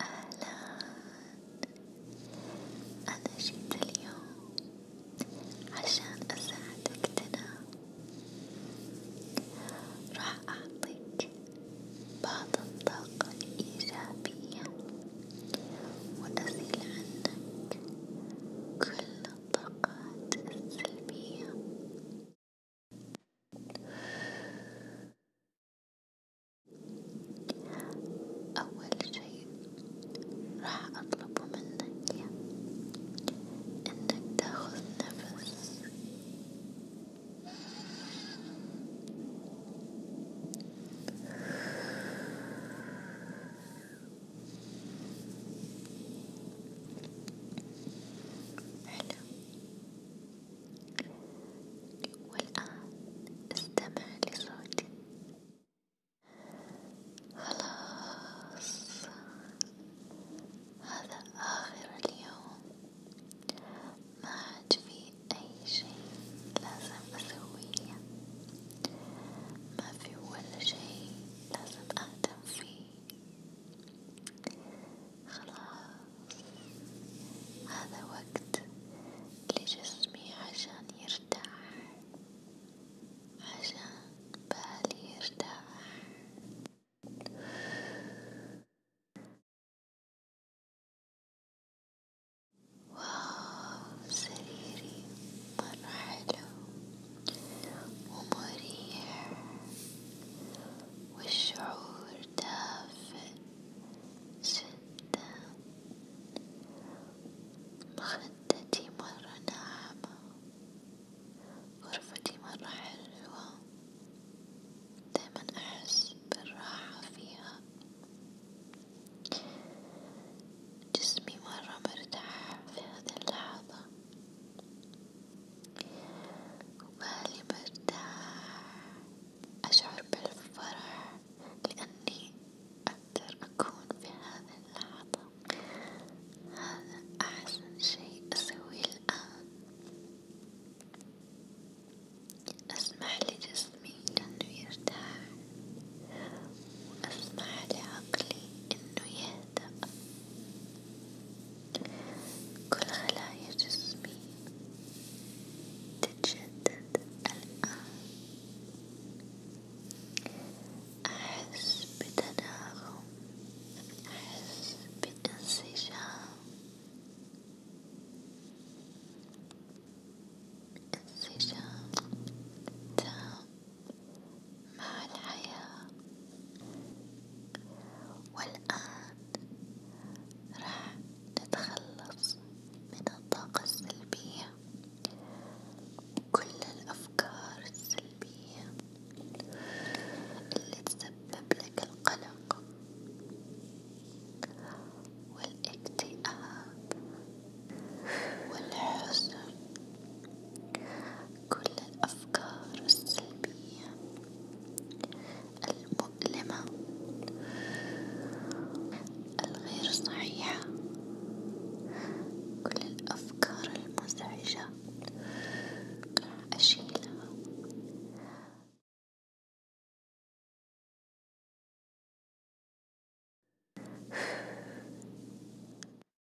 أهلا أنا جيت اليوم عشان أساعدك تنام راح أعطيك بعض الطاقة الإيجابية وأزيل عنك كل الطاقات السلبية. أول شي راح أطلبه منك إنك تاخذ نفس حلو والآن استمع لصوتي خلاص هذا آخر اليوم ما عاد في أي شيء لازم أسويه ما في ولا شيء لازم أهتم فيه خلاص هذا وقت لجسمي عشان يرتاح عشان بالي يرتاح واو سريري مرة حلو ومريح والشعور دافئ جدا مخدتي مرة ناعمة غرفتي مرة حلوة دايما أحس بالراحة فيها جسمي مرة مرتاح في هذه اللحظة وبالي برتاح أشعر بالفرح لأني أقدر أكون في هذه اللحظة هذا أحسن شيء أسويه الآن أسمح لجسمي أنه يرتاح وأسمح لعقلي أنه يهدأ هادئ كل خلايا جسمي تتجدد الآن أحس بتناغم أحس بانسجام انسجام تام مع الحياة والآن راح نتخلص من الطاقة السلبية وكل الأفكار السلبية اللي تسبب لك القلق والاكتئاب والحزن كل الأفكار السلبية المؤلمة الغير صحيحة كل الأفكار المزعجة أشيلها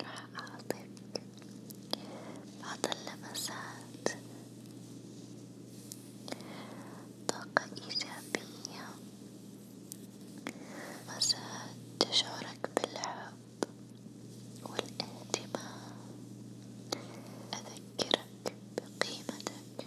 راح أعطيك بعض اللمسات طاقة إيجابية مسات تشعرك بالحب والاهتمام أذكرك بقيمتك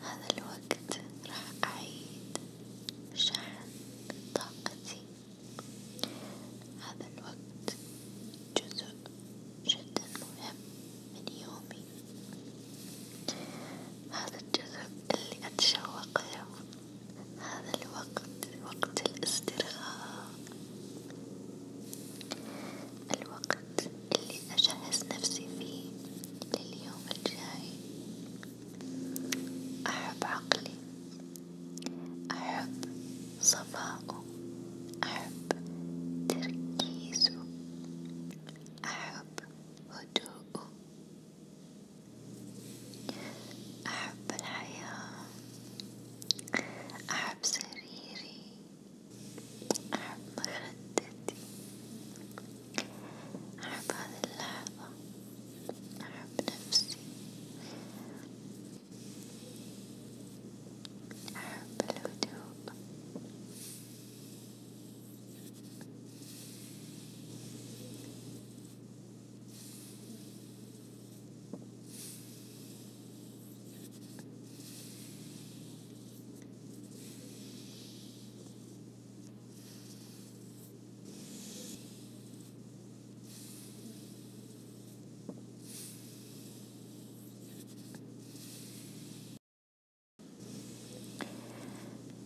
هذا الوقت راح أعيد شحن طاقتي، هذا الوقت جزء جدا مهم من يومي، هذا الجزء اللي أتشوق له، هذا الوقت وقت الاسترخاء، الوقت الوقت اللي أجهز نفسي فيه لليوم الجاي، أحب عقلي، أحب صفاؤه، أحب تركيزه، أحب هدوءه، أحب الحياة، أحب سريري. أحب مخدتي أحب هذه اللحظة أحب نفسي أحب الهدوء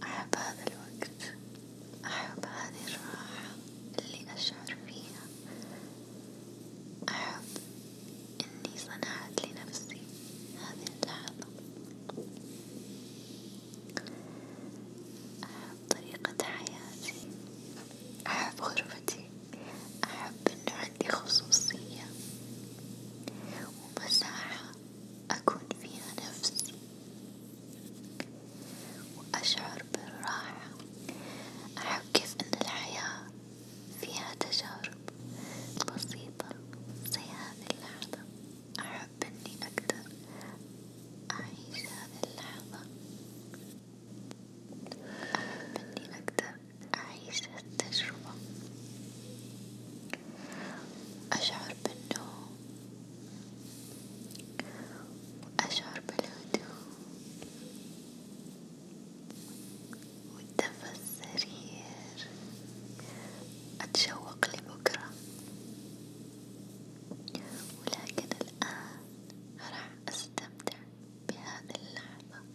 أحب هذا الوقت، أحب هذه الراحة اللي أشعر فيها أحب إني صنعت لنفسي هذه اللحظة، أحب طريقة حياتي، أحب غرفتي، أحب إنه عندي خصوصية ومساحة أكون فيها نفسي وأشعر بالراحة، أحب كيف إن الحياة فيها تجارب بسيطة زي هذه اللحظة، أحب إني أقدر أعيش هذه اللحظة، أحب إني أقدر أعيش التجربة، أشعر بالنوم، وأشعر بالهدوء. والدفى السرير أتشوق لبكرة ولكن الآن راح أستمتع بهذه اللحظة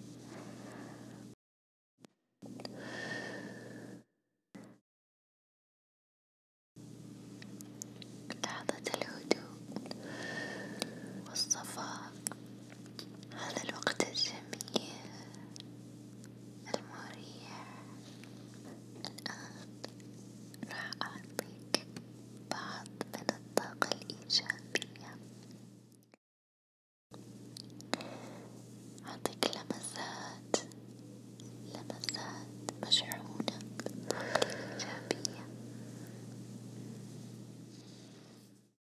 لحظة الهدوء والصفاء هذا الوقت الجميل المريح الآن راح أعطيك بعض من الطاقة الإيجابية أعطيك لمسات لمسات مشحونة إيجابية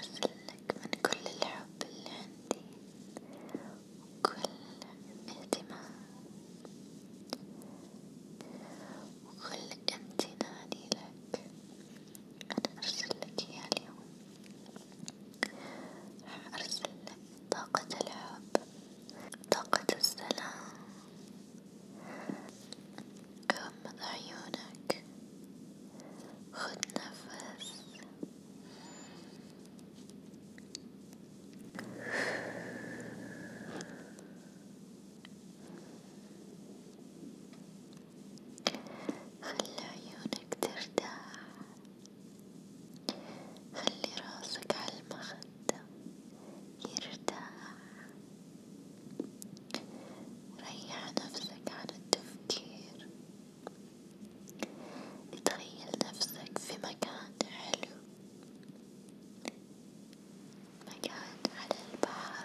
أرسلك من كل الحب اللي عندي وكل اهتمام وكل امتناني لك، أنا أرسلك إياه اليوم، راح أرسلك طاقة الحب، طاقة السلام، غمض عيونك خد نفس خلي عيونك ترتاح خلي راسك على المخد حتى يرتاح ريح نفسك عن التفكير تخيل نفسك في مكان حلو مكان على البحر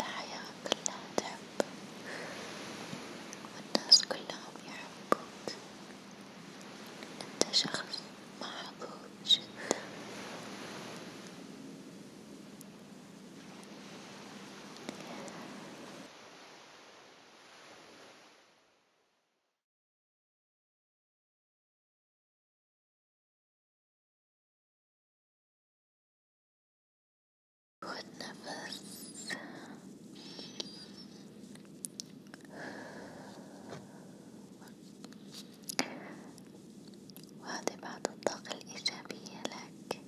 الحياة كلها تحبك والناس كلهم يحبوك أنت شخص محظوظ جدا خد نفس وهذه بعض الطاقة الإيجابية لك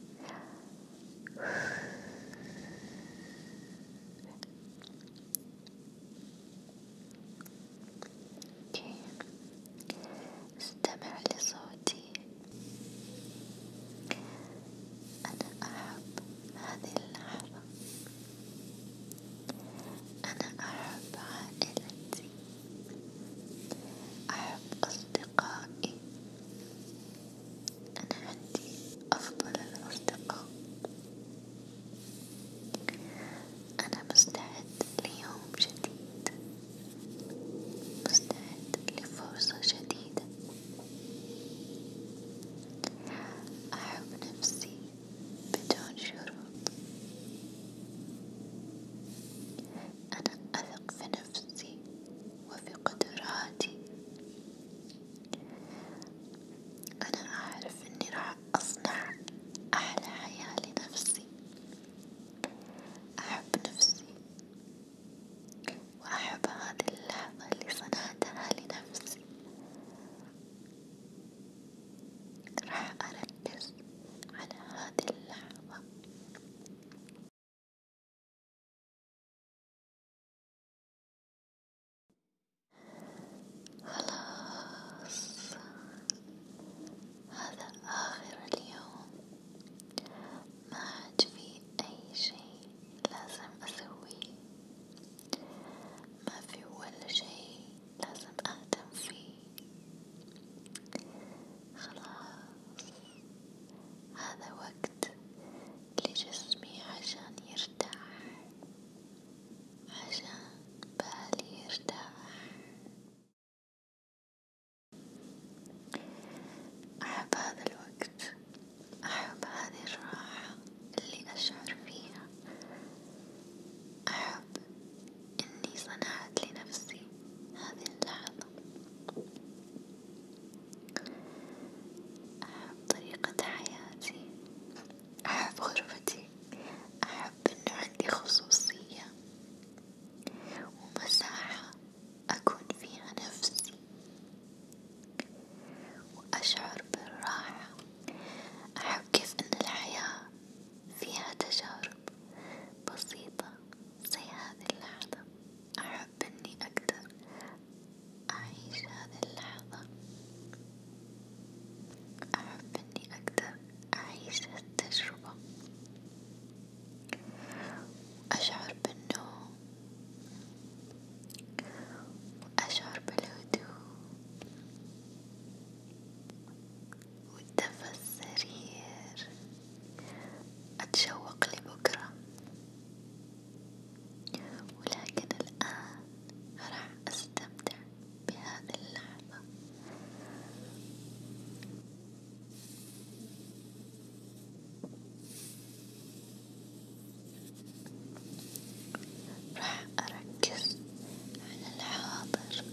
اوكي استمع لصوتي أنا أحب هذه اللحظة أنا أحب عائلتي أحب أصدقائي أنا عندي أفضل الأصدقاء أنا مستعد ليوم جديد مستعد لفرصة جديدة، أحب نفسي بدون شروط، أنا أثق في نفسي وفي قدراتي، أنا أعرف إني راح أصنع أحلى حياة لنفسي. أحب نفسي وأحب هذه اللحظة اللي صنعتها لنفسي راح أركز على هذه اللحظة. خلاص هذا آخر اليوم ما عاد في أي شيء لازم أسويه، ما في ولا شيء لازم أهتم فيه، خلاص هذا وقت لجسمي عشان يرتاح، عشان بالي يرتاح. أحب هذا الوقت، أحب هذه الراحة اللي أشعر فيها، أحب إني صنعت لنفسي هذه اللحظة، أحب طريقة حياتي، أحب غرفتي، أحب إنه عندي خصوصية. ومساحة أكون فيها نفسي وأشعر بالراحة، أحب كيف إن الحياة فيها تجارب بسيطة زي هذه اللحظة، أحب إني أقدر أعيش هذه اللحظة، أحب إني أقدر أعيش هالتجربة. أشعر بالنوم وأشعر بالهدوء والدفى السرير أتشوق لبكرة ولكن الآن راح أستمتع بهذه اللحظة راح أركز على الحاضر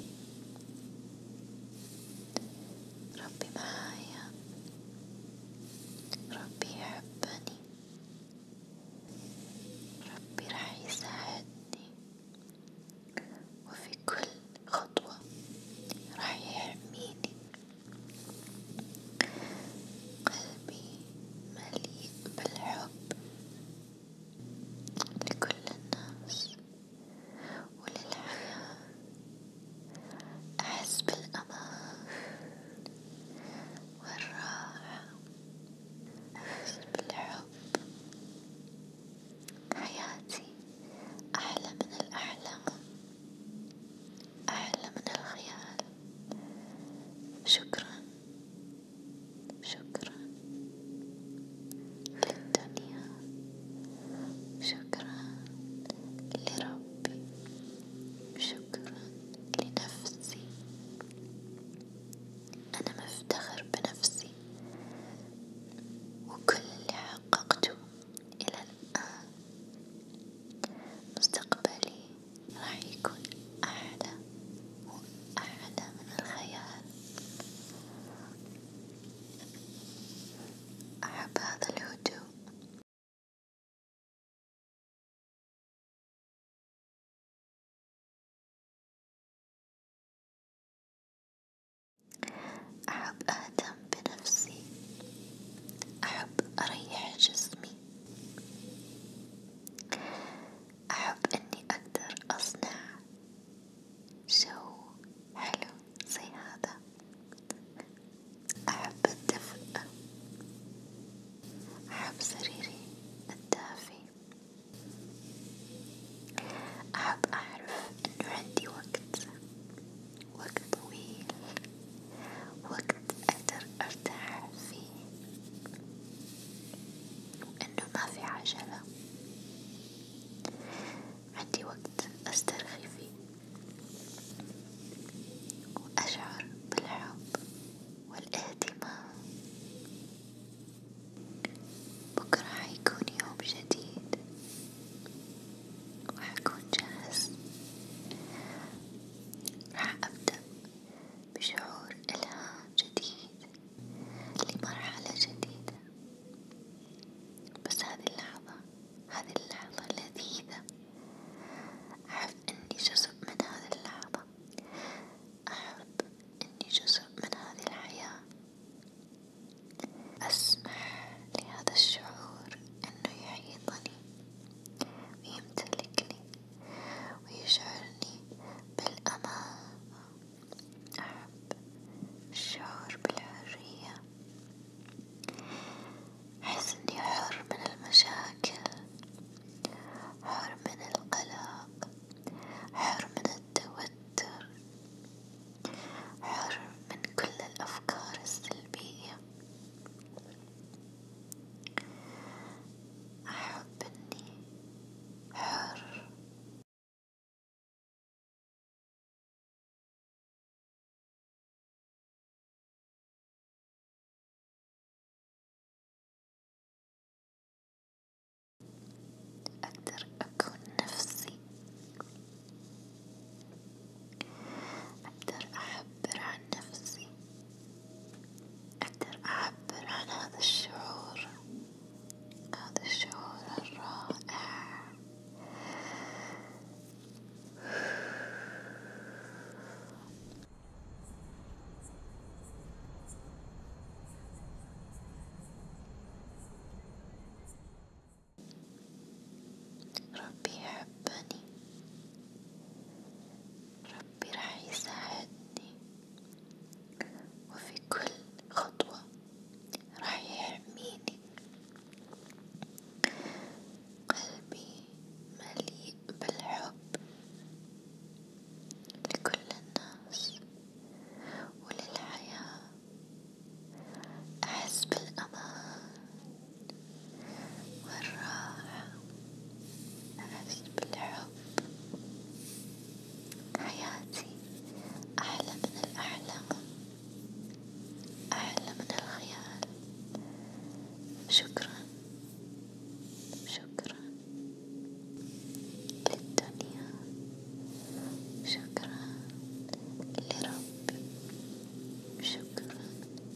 ربي معايا ربي يحبني ربي راح يساعدني وفي كل خطوة راح يحميني قلبي مليء بالحب لكل الناس وللحياة أحس بالأمان والراحة أحس بالحب حياتي أحلى من الأحلام أحلى من الخيال شكرا شكرا للدنيا شكرا لربي شكرا لنفسي أنا مفتخر بنفسي نفسي وكل اللي حققته إلى الآن مستقبلي راح يكون أعلى وأعلى من الخيال أحب هذا الهدوء أحب أهتم بنفسي، أحب أريح جسمي، أحب إني أقدر أصنع جو حلو زي هذا، أحب الدفء، أحب سريري الدافي. أحب أعرف إنه عندي وقت وقت طويل وقت أقدر أرتاح فيه وإنه ما في عجلة عندي وقت أسترخي فيه وأشعر بالحب والاهتمام بكرة حيكون يوم جديد وحكون جاهز راح أبدأ بشعور إلهام جديد لمرحلة جديدة بس هذه اللحظة هذه اللحظة لذيذة أحب إني جزء من هذه اللحظة أحب إني جزء من هذه الحياة أسمح لهذا الشعور أنه يحيطني ويمتلكني ويشعرني بالأمان، أحب الشعور بالحرية، أحس إني حر من المشاكل، حر من القلق، حر من التوتر. حر من كل الأفكار السلبية، أحب إني حر. أقدر أكون نفسي، أقدر أعبر عن نفسي، أقدر أعبر عن هذا الشعور، هذا الشعور الرائع، ربي يحبني ربي راح يساعدني وفي كل خطوة راح يحميني قلبي مليء بالحب لكل الناس وللحياة أحس بالأمان والراحة أحس بالحب حياتي أحلى من الأحلام أحلى من الخيال شكرا شكرا بالدنيا شكرا لربي شكرا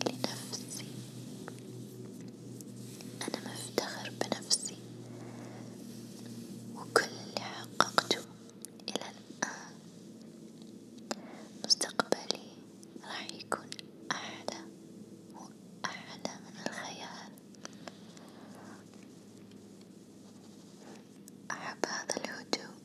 لنفسي أنا مفتخر بنفسي وكل اللي حققته إلى الآن مستقبلي راح يكون أعلى وأعلى من الخيال أحب هذا الهدوء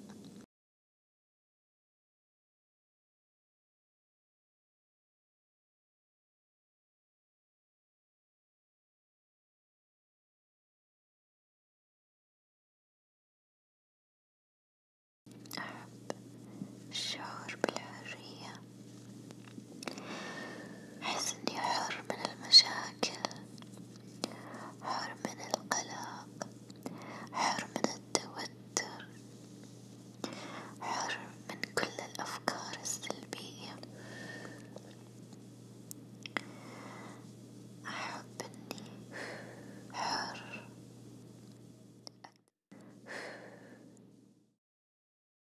أحب الشعور بالحرية، أحس إني حر من المشاكل حر من القلق حر من التوتر حر من كل الأفكار السلبية أحب إني حر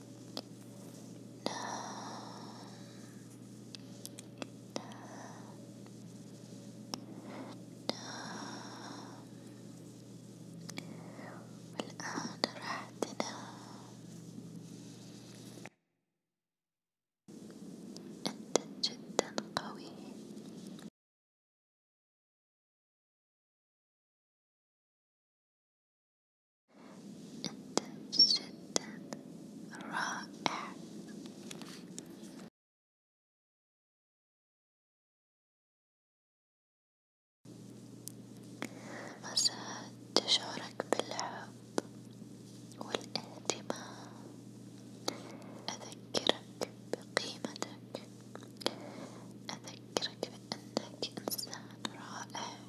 والآن راح تنام أنت جدا قوي أنت جدا رائع. مساعد تشعرك بالحب والاهتمام أذكرك بقيمتك أذكرك بأنك إنسان رائع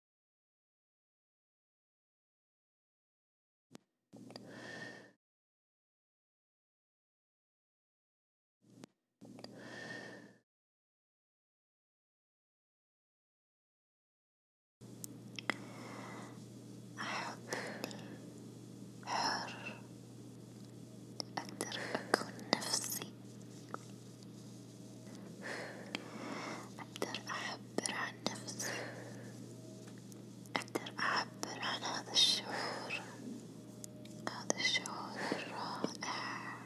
أحب إني حر، أقدر أكون نفسي، أقدر أعبر عن نفسي، أقدر أعبر عن هذا الشعور، هذا الشعور الرائع،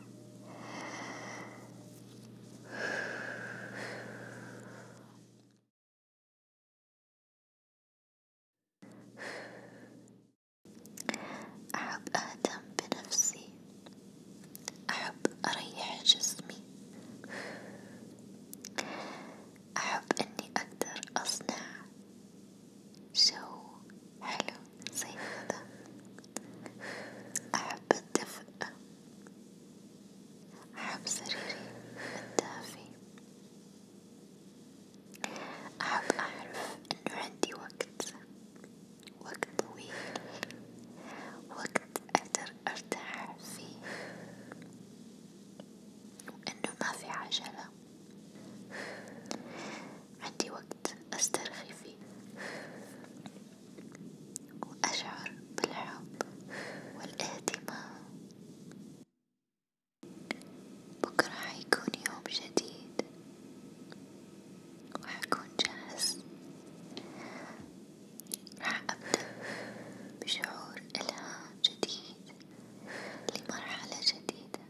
أحب أهتم بنفسي، أحب أريح جسمي، أحب إني أقدر أصنع جو حلو زي هذا، أحب الدفء، أحب سريري الدافي، أحب أعرف إنه عندي وقت، وقت طويل، وقت أقدر أقدر أرتاح فيه وإنه ما في عجلة عندي وقت أسترخي فيه وأشعر بالحب والاهتمام بكرة حيكون يوم جديد وحكون جاهز راح أبدأ بشعور إلهام جديد لمرحلة جديدة،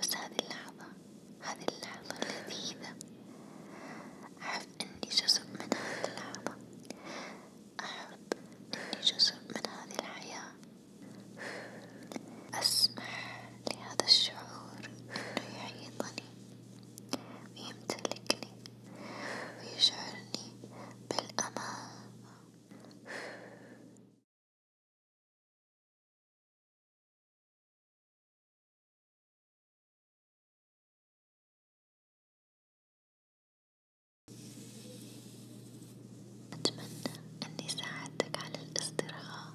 بس هذه اللحظة هذه اللحظة لذيذة، أحب إني جزء من هذه اللحظة، أحب إني جزء من هذه الحياة، أسمح لهذا الشعور إنه يحيطني. ويمتلكني ويشعرني بالأمان. أتمنى إني ساعدتك على الاسترخاء